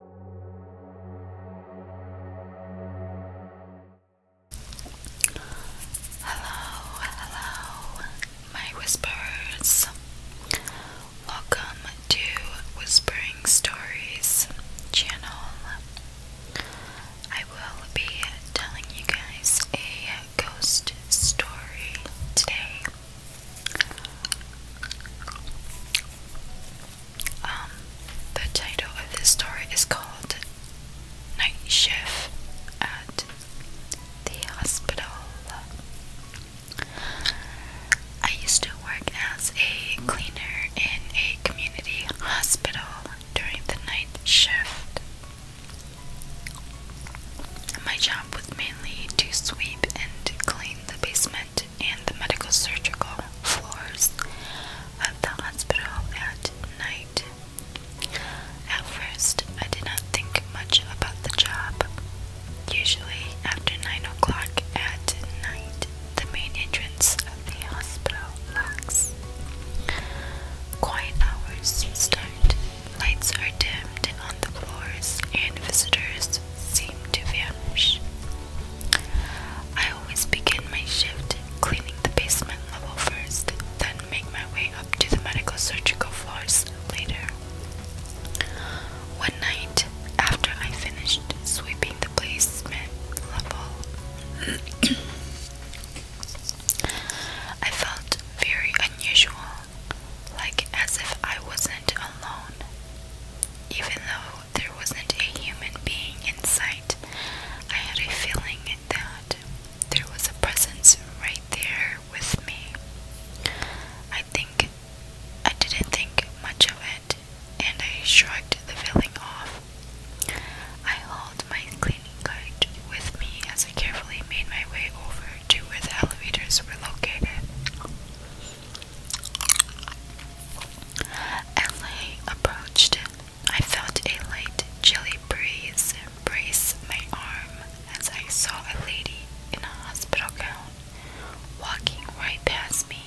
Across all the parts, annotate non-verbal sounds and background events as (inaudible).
Hello, hello, my whispers. Welcome to Whispering Stories channel. I will be telling you guys a ghost story today. Um, the title of this story is called Night Shift at the Hospital. I used to work as a cleaner in a community hospital during the night shift. My job was mainly to sweep and clean the basement plant and the medical surgical floors of the hospital at night. At first, I did not think much about the job. Usually, after 9 o'clock at night, the main entrance of the hospital locks. Quiet hours start, lights are dimmed on the floors, and visitors seem to vanish. I always begin my shift cleaning the basement level first, then make my way up to the medical surgical floors later. One night, after I finished sweeping the basement level, (clears throat) I felt very unusual, like as if I wasn't alone. Even though there wasn't a human being in sight, I had a feeling that there was a presence right there with me. I think I didn't think much of it, and I shrugged the feeling off. I hauled my cleaning cart with me as I carefully made my way over to where the elevators were located. As I approached, I felt a light chilly breeze embrace my arm as I saw a lady in a hospital gown walking right past me.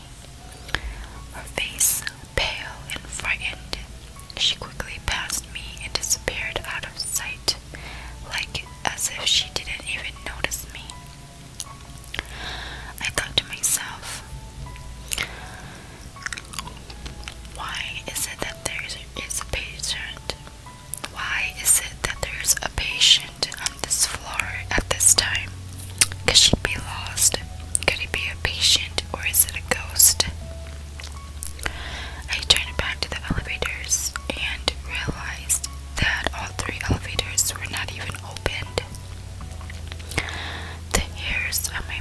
Her face pale and frightened, she quickly passed me and disappeared out of sight, like as if she didn't even notice me. I thought to myself, why is it that there is a patient? Why is it that there's a patient on this floor at this time? Could she be lost? Could it be a patient or is it a ghost? I turned back to the elevators and realized that all three elevators were not even open. The hairs on my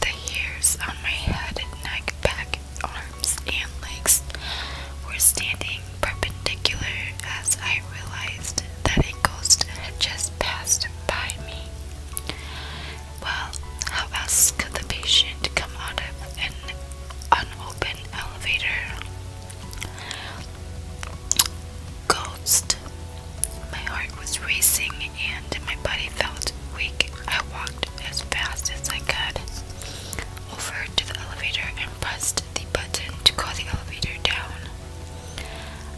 the hairs on my head, neck, back, arms, and legs were standing perpendicular as I realized that a ghost had just passed by me. Well, how else could the patient come out of an unopened elevator? Ghost. My heart was racing and my body felt weak. I walked as fast as I could over to the elevator and pressed the button to call the elevator down.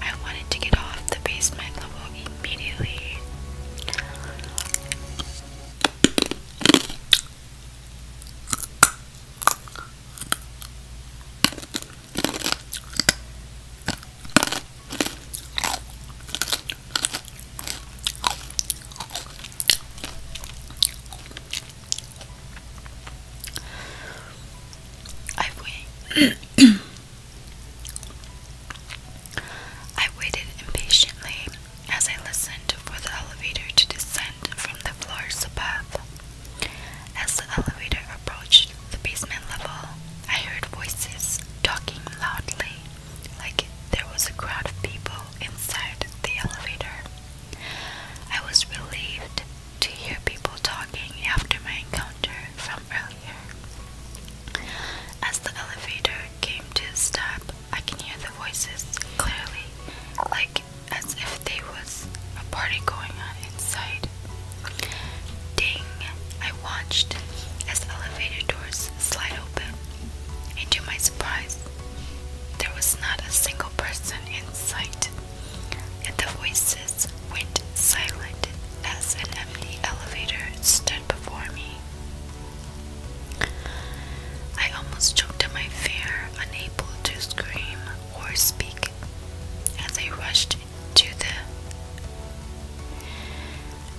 I wanted to get off the basement level immediately i waited impatiently as I listened for the elevator to descend from the floors above. As the elevator approached the basement level, I heard voices talking loudly, like there was a crowd of people inside the elevator. I was relieved to hear people talking after my encounter from earlier. As the elevator came to a stop, I can hear the voices clearly, like as if there was a party going on inside. Ding! I watched as elevator doors slide open, and to my surprise, there was not a single person in sight, and the voices went silent as an empty elevator stood before me. I almost choked in my fear, unable to scream or speak, as I rushed to the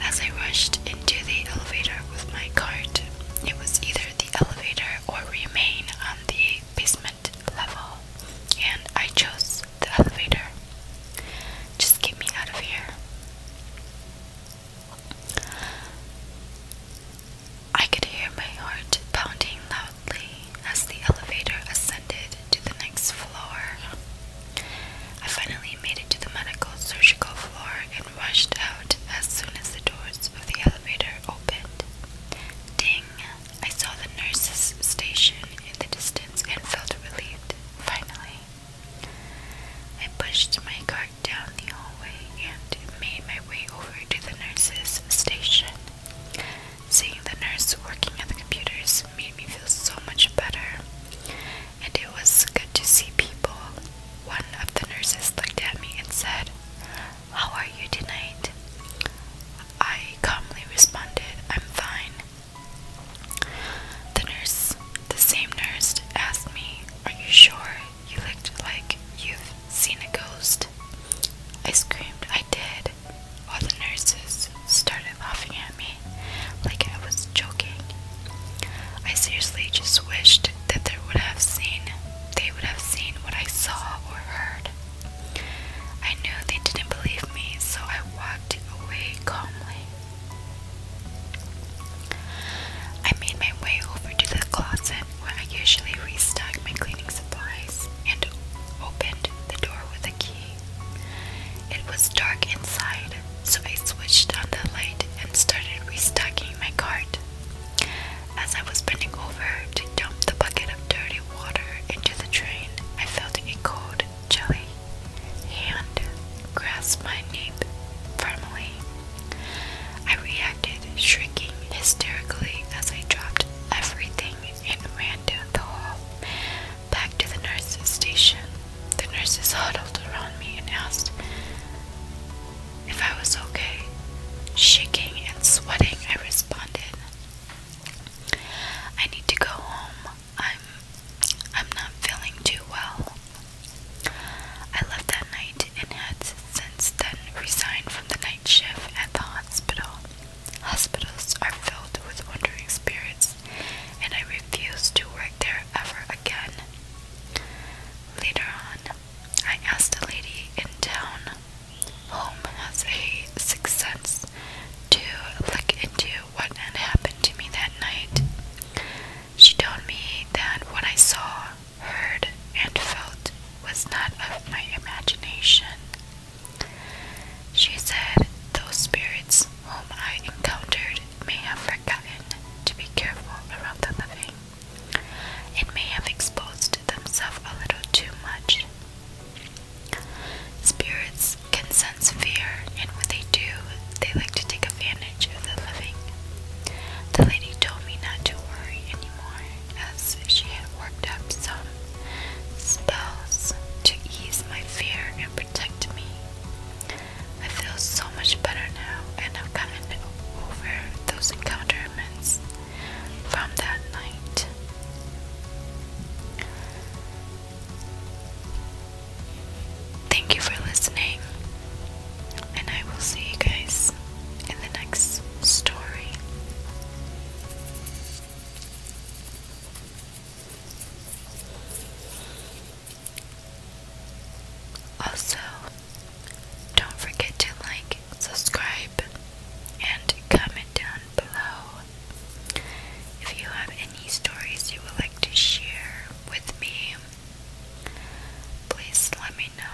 as I rushed into the elevator with my cart. It was either the elevator or remain on the basement level, and I chose the elevator. Just get me out of here. I could hear my heart pounding loud as the elevator ascended to the next floor. I finally made it to the medical surgical floor and rushed out as soon as the doors of the elevator opened. Ding! I saw the nurse's station in the distance and felt relieved, finally. I pushed my cart down the hallway and made my way over to the nurse's station. Seeing the nurse working at the computers made me feel so much better. And it was good to see people. One of the nurses looked at me and said, How are you tonight? I calmly responded, I'm fine. The nurse, the same nurse, asked me, Are you sure you looked like you've seen a ghost? I screamed, I did all the nurses started laughing at me like I was joking. I seriously just wished that they would have seen they would have seen what I saw or heard. I knew they didn't believe me, so I walked away calmly. I made my way over to the closet where I usually restock my cleaning supplies and opened the door with a key. It was dark inside, so I switched on the light and started restocking my cart. As I was bending over to dump the bucket of dirty water into the drain, I felt a cold, chilly hand grasp my nape firmly. I reacted, shrinking hysterically as I dropped everything and ran down the hall. Back to the nurse's station. The nurses huddled around me and asked if I was okay. Shaking and sweating, I responded, I need to go home. I'm I'm not feeling too well. I left that night and had since then resigned from the night shift at the hospital. Hospitals are filled with wandering spirits, and I refuse to work there ever again. Later on, I asked a lady in town. Home has a sixth sense to look into what had happened to me that night. She told me that what I saw, heard, and felt was not of my imagination. She said, Those spirits whom I encountered may have forgotten to be careful around the living, and may have exposed themselves a little too much. Spirits can sense fear, and when they do, they like to take advantage of the living. The lady told me not to worry anymore, as she had worked up some spells to ease my fear and protect me. I feel so much better now and have gotten over those encounterments from that night. Thank you for listening, and I will see you guys in the next story. Also, don't forget to like, subscribe, and comment down below if you have any stories you would like to share with me. Please let me know.